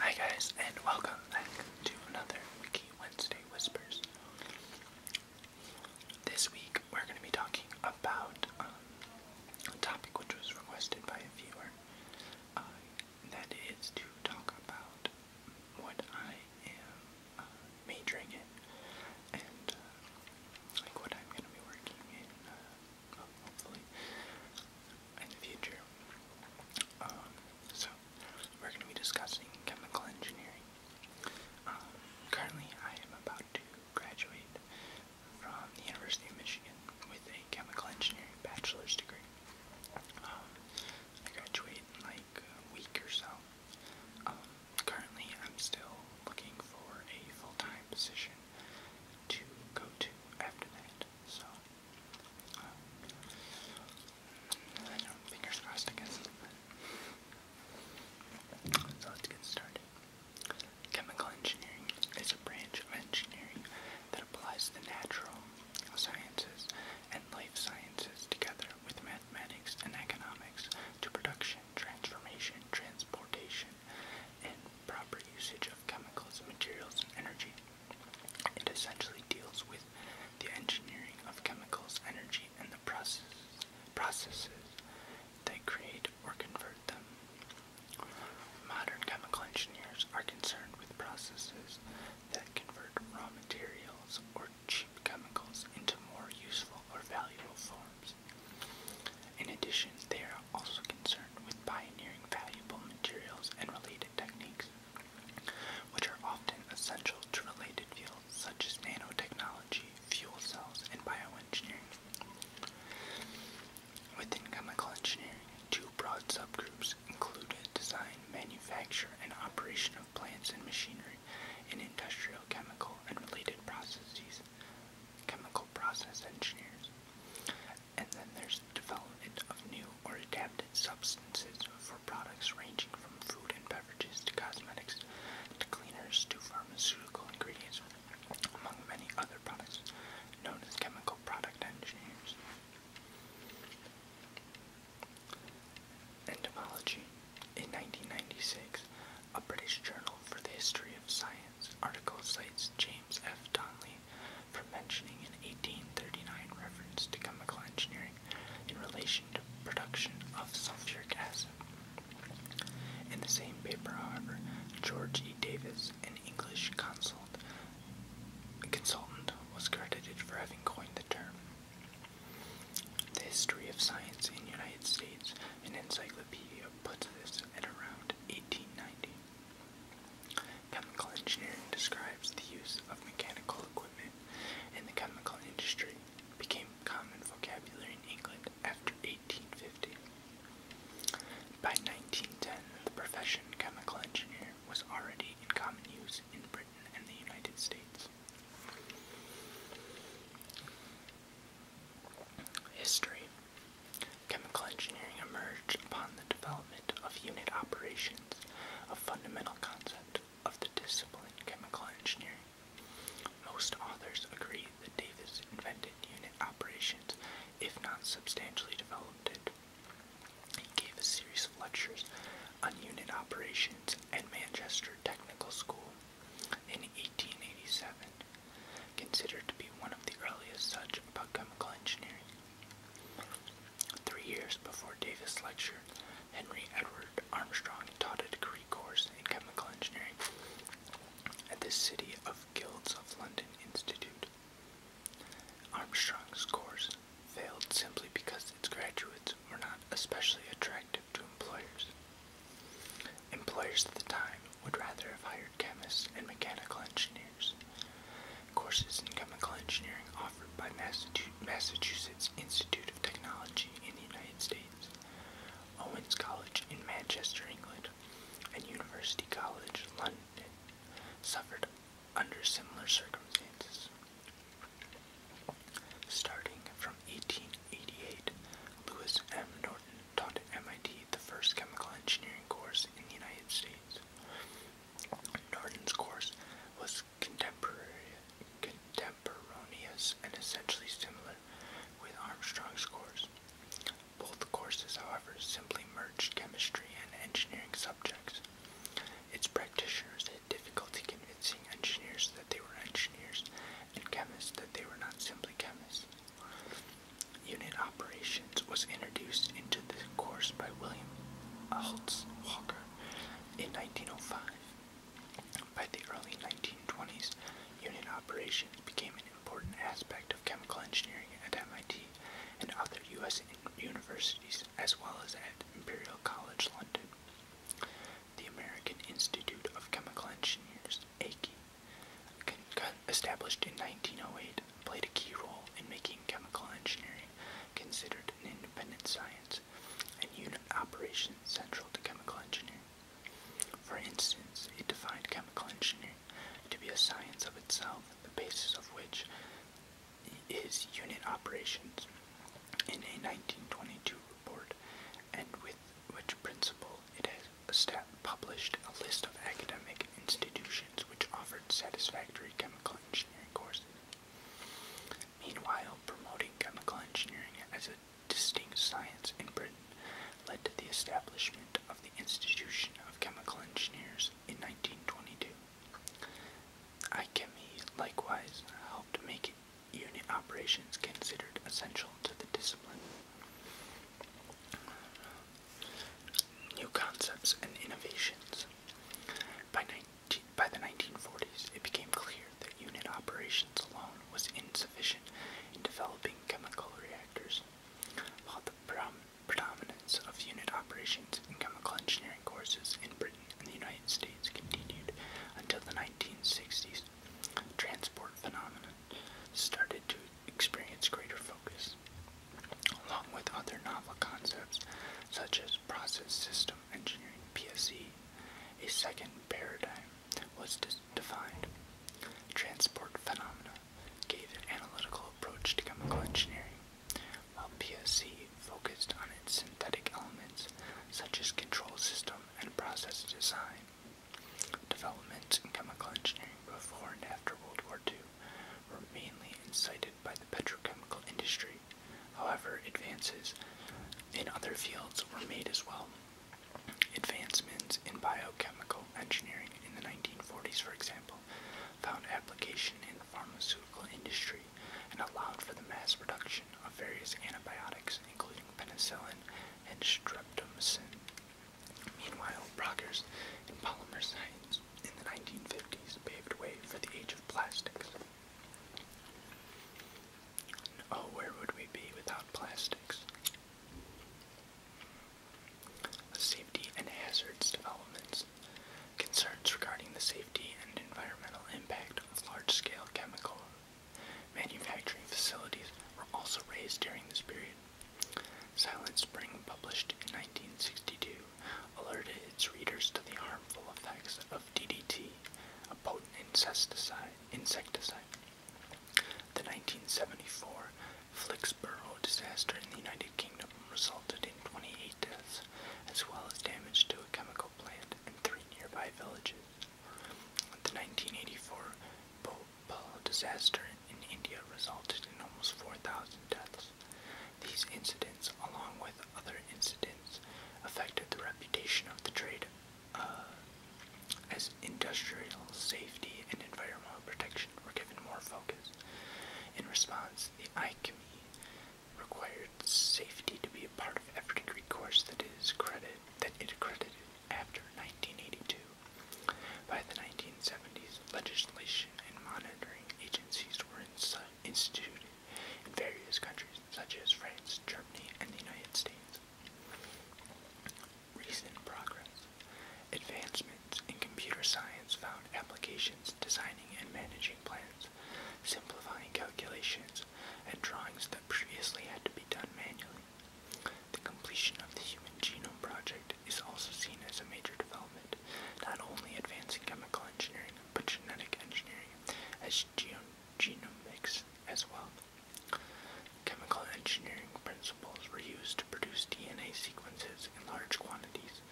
Hi guys, and welcome back to another Wiki Wednesday Whispers. This week we're going to be talking about um, a topic which was requested by a viewer. Uh, that is to talk about what I am uh, majoring in and uh, like what I'm going to be working in, hopefully, in the future. Um, so, we're going to be discussing chemical engineering. Um, currently, I am about to graduate from the University of Michigan with a chemical engineering bachelor's degree. Um, I graduate in like a week or so. currently, I'm still looking for a full time position to go to after that. So, I know, Chemical engineering is a branch of engineering that applies the natural sciences and life sciences together with mathematics and economics to production, transformation, transportation, and proper usage of chemicals, materials, and energy. It essentially deals with the engineering of chemicals, energy, and the processes, processes that create or convert them. Modern chemical engineers are concerned with processes that convert raw materials or cheap chemicals into more useful or valuable forms. In addition, they are also concerned with pioneering valuable materials and related techniques, which are often essential to related fields such as nanotechnology, fuel cells, and bioengineering. Within chemical engineering, two broad subgroups include design, manufacture, and operation of plants and machinery in industrial, chemical, and related processes, chemical process engineers. And then there's development of new or adapted substances for products ranging from food and beverages to cosmetics to cleaners to pharmaceutical ingredients, among many other products known as chemical product engineers. Entomology. In 1996, a British journal for the history of science article cites James F. Donley for mentioning an 1839 reference to chemical engineering in relation to production of sulfuric acid. In the same paper, however, George E. Davis, an English consultant, was credited for having coined the term. The History of Science in the United States, an encyclopedia, puts this at around 1890. Chemical engineering describes the use of mechanical equipment in the chemical industry, became common vocabulary in England after 1850. By 1910, the profession chemical engineer was already in common use in Britain and the United States. History Chemical engineering emerged upon the development of unit operations a fundamental concept of the discipline chemical engineering. Most authors agree that Davis invented unit operations, if not substantially developed it. He gave a series of lectures on unit operations at Manchester Technical School in 1887, considered to be one of the earliest such about chemical engineering. Three years before Davis' lecture, Henry Edward Armstrong taught a degree course in chemical engineering at the City of Guilds of London Institute. Armstrong's course failed simply because its graduates were not especially attractive to employers. Employers at the time would rather have hired chemists and mechanical engineers courses in chemical engineering offered by Massachusetts Institute of Technology in the United States, Owens College in Manchester, England, and University College London suffered under similar circumstances. Starting from 1888, Lewis M. Norton taught at MIT the first chemical engineering course in the United States. Norton's course was contemporary, contemporaneous and essentially similar with Armstrong's course. Both courses, however, simply merged chemistry and engineering subjects. Its practitioners had difficulty convincing engineers that they were engineers and chemists that they were not simply chemists. Unit operation was introduced into the course by William Alts Walker in 1905. By the early 1920s, unit operations became an important aspect of chemical engineering at MIT and other U.S. universities, as well as at Imperial College London. The American Institute of Chemical Engineers, AICE, established in 1908, played a key role in making chemical engineering considered an independent science and unit operations central to chemical engineering. For instance, it defined chemical engineering to be a science of itself, the basis of which is unit operations. In a 1922 report, and with which principle it has published a list of academic institutions which offered satisfactory chemical engineering courses. Meanwhile, promoting chemical engineering as a distinct science in Britain led to the establishment of the Institution of Chemical Engineers in 1922. Ichemi likewise helped make unit operations considered essential to the discipline new concepts, and innovations. By, 19, by the 1940s, it became clear that unit operations alone was insufficient in developing chemical reactors. While the predominance of unit operations in chemical engineering courses in Britain and the United States continued until the 1960s, transport phenomena started to experience greater focus along with other novel concepts such as process system engineering PSE. A second paradigm was defined. Transport phenomena gave an analytical approach to chemical engineering, while PSC focused on its synthetic elements such as control system and process design. Developments in chemical engineering before and after World War II were mainly incited by the petrochemical industry. However, advances in other fields were made as well. Advancements in biochemical engineering in the 1940s, for example, found application in the pharmaceutical industry and allowed for the mass production of various antibiotics, including penicillin and streptomycin. Meanwhile, progress in polymer science in the 1950s paved way for the age of plastics. Oh, where would we be without plastics? Safety and hazards developments. Concerns regarding the safety and environmental impact of large-scale chemical manufacturing facilities were also raised during this period. Silent Spring, published in 1962, alerted its readers to the harmful effects of DDT, a potent insecticide. The 1974 Flixborough disaster in the United Kingdom resulted in 28 deaths, as well as damage to a chemical plant and three nearby villages. The 1984 Bhopal disaster in India resulted in almost 4,000 deaths. These incidents, along with other incidents affected the reputation of the trade uh, as industrial safety and environmental protection were given more focus. In response, the ICME required safety to be a part of every degree course that is credit that it accredited after 1982. By the 1970s, legislation and monitoring agencies were in such Institute in various countries such as France, Germany, and the United States. Recent progress. Advancements in computer science found applications designing and managing plans, simplifying calculations, and drawings that previously had to be done manually. The completion of the Human Genome Project is also seen as a major development not only advancing chemical engineering, but genetic engineering as genomics as well. Chemical engineering principles were used to produce DNA sequences in large quantities,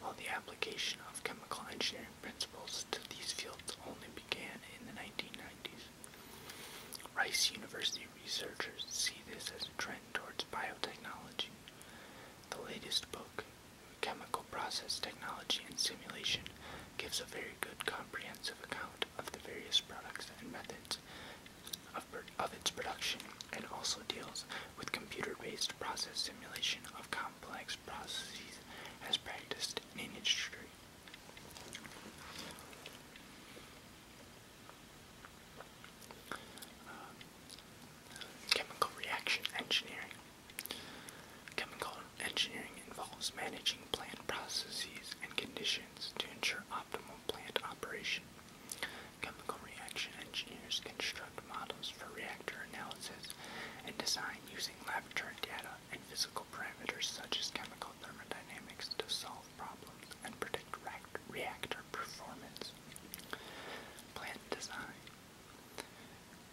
while the application of chemical engineering principles to these fields only began in the 1990s. Rice University researchers see this as a trend towards biotechnology. The latest book, chemical process technology and simulation gives a very good comprehensive account of the various products and methods of, of its production and also deals with computer-based process simulation of complex processes as practiced in industry. Uh, chemical reaction engineering Chemical engineering involves managing plant processes and conditions to ensure optimal plant operation. Chemical reaction engineers construct models for reactor analysis and design using laboratory data and physical parameters such as chemical thermodynamics to solve problems and predict reactor performance. Plant design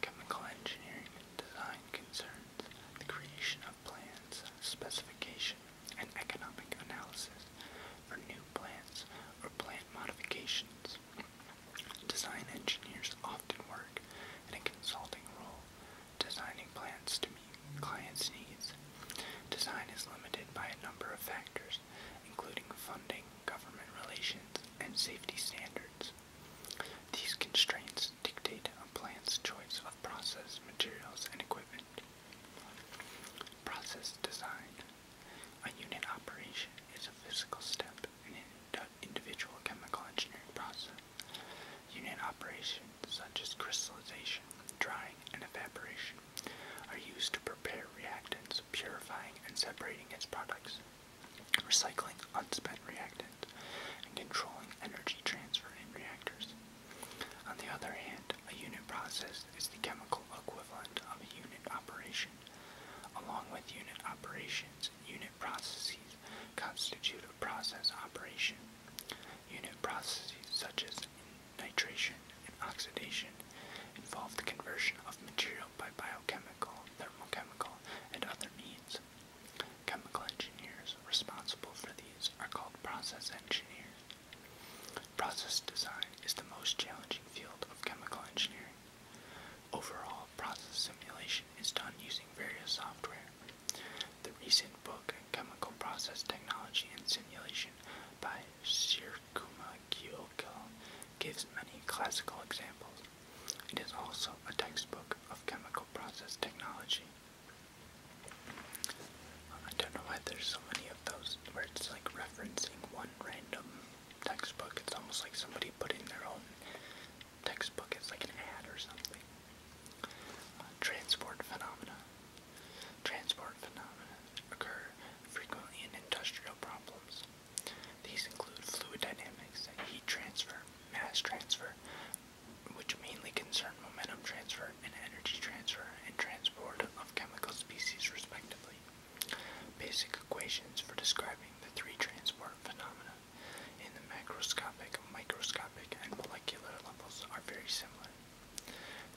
chemical engineering and design concerns, the creation of plans, specification, and economic analysis for new plants or plant modifications. Design engineers often work in a consulting role, designing plants to meet clients' needs. Design is limited by a number of factors, including funding, government relations, and safety standards. These constraints dictate a plant's choice of process, materials, and equipment. Process design. A unit operation is a physical step in an individual chemical engineering process. Unit operations, such as crystallization, drying, and evaporation, are used to prepare reactants purifying and separating its products, recycling unspent reactants, and controlling energy transfer in reactors. On the other hand, a unit process is the chemical equivalent of a unit operation. Along with unit operations, unit processes constitute a process operation. Unit processes such as nitration and oxidation involve the conversion of material by biochemical, thermochemical, and other needs. Chemical engineers responsible for these are called process engineers. Process design is the most challenging field of chemical engineering. Overall, process simulation is done using various software. The recent book, Chemical Process Technology and Simulation by Sirkuma Kyoko, gives many classical examples. It is also a textbook of chemical process technology. I don't know why there's so many of those where it's like referencing one random textbook. It's almost like somebody put their own textbook. It's like an ad or something. Uh, transport phenomena. Transport phenomena occur frequently in industrial problems. These include fluid dynamics, heat transfer, mass transfer, which mainly concern momentum transfer and energy transfer and transport of chemical species respectively. Basic equations for describing the three transport phenomena in the macroscopic, microscopic, and molecular levels are very similar.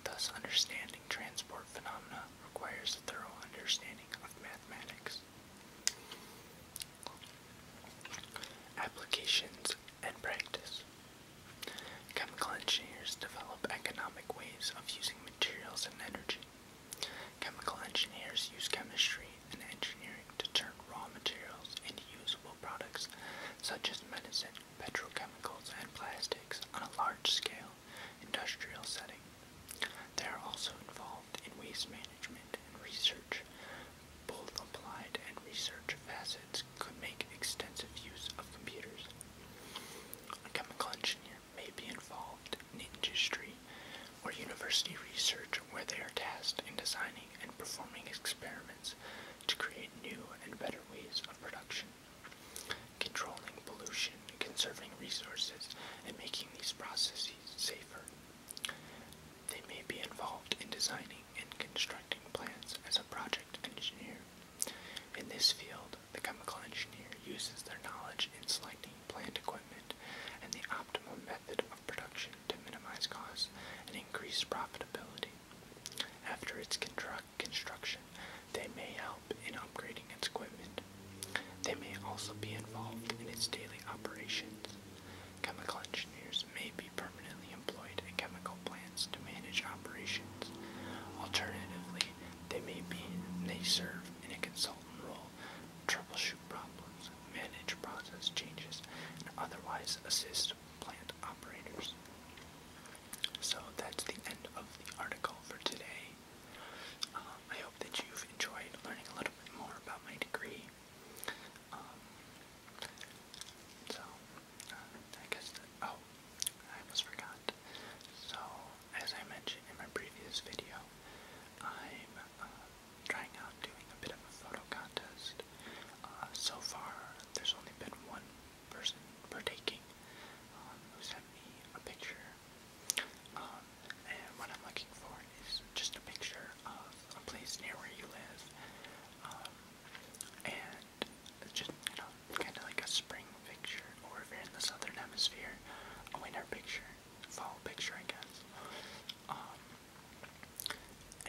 Thus, understanding transport phenomena requires a thorough understanding of mathematics. Applications and practice. Chemical engineers develop economic ways of using materials and energy. Chemical engineers use chemistry and engineering to turn raw materials into usable products such as medicine, petrochemicals, and plastics on a large scale industrial setting. They are also involved in waste management and research. Both applied and research facets could make extensive use of computers. A chemical engineer may be involved in industry or university research where they are tasked in designing and performing experiments to create new and better ways of production. Controlling pollution, conserving resources, and making these processes safer they may be involved in designing and constructing plants as a project engineer. In this field, the chemical engineer uses their knowledge in selecting plant equipment and the optimal method of production to minimize costs and increase profitability. After its construction, they may help in upgrading its equipment they may also be involved in its daily operations. Chemical engineers may be permanently employed at chemical plants to manage operations. Alternatively, they may be they serve in a consultant role, troubleshoot problems, manage process changes, and otherwise assist plant operators. So that's the end of the article for today. Um, I hope that you've enjoyed learning a little bit more about my degree. Um, so, uh, I guess oh, I almost forgot. So, as I mentioned in my previous video, I'm uh, trying out doing a bit of a photo contest. Uh, so far, there's only been one person partaking um, who sent me a picture picture. Um, and what I'm looking for is just a picture of a place near where you live. Um, and just, you know, kind of like a spring picture, or if you're in the southern hemisphere, a winter picture, fall picture, I guess. Um,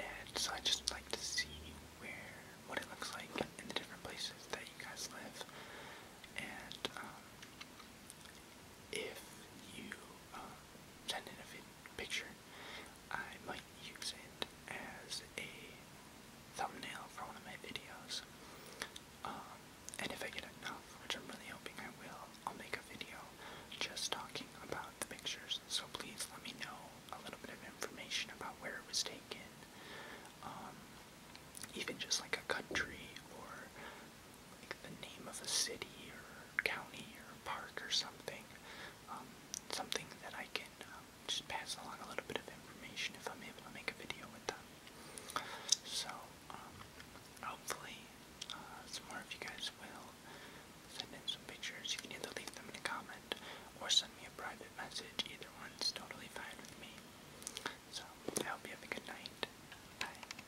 and so I just like to see where, what it looks like in the different places that you guys live. And, um, if you um, send in a picture, I might use it as a thumbnail for one of my videos. Um, and if I get enough, which I'm really hoping I will, I'll make a video just talking about the pictures. So please let me know a little bit of information about where it was taken, um, even just like a country or like the name of a city or county or park or something. Um, something that I can um, just pass along a little bit of information if I'm able to make a video with them. So, um, hopefully, uh, some more of you guys will send in some pictures. You can either leave them in a comment or send me a private message. Either one's totally fine with me. So, I hope you have a good night. Bye.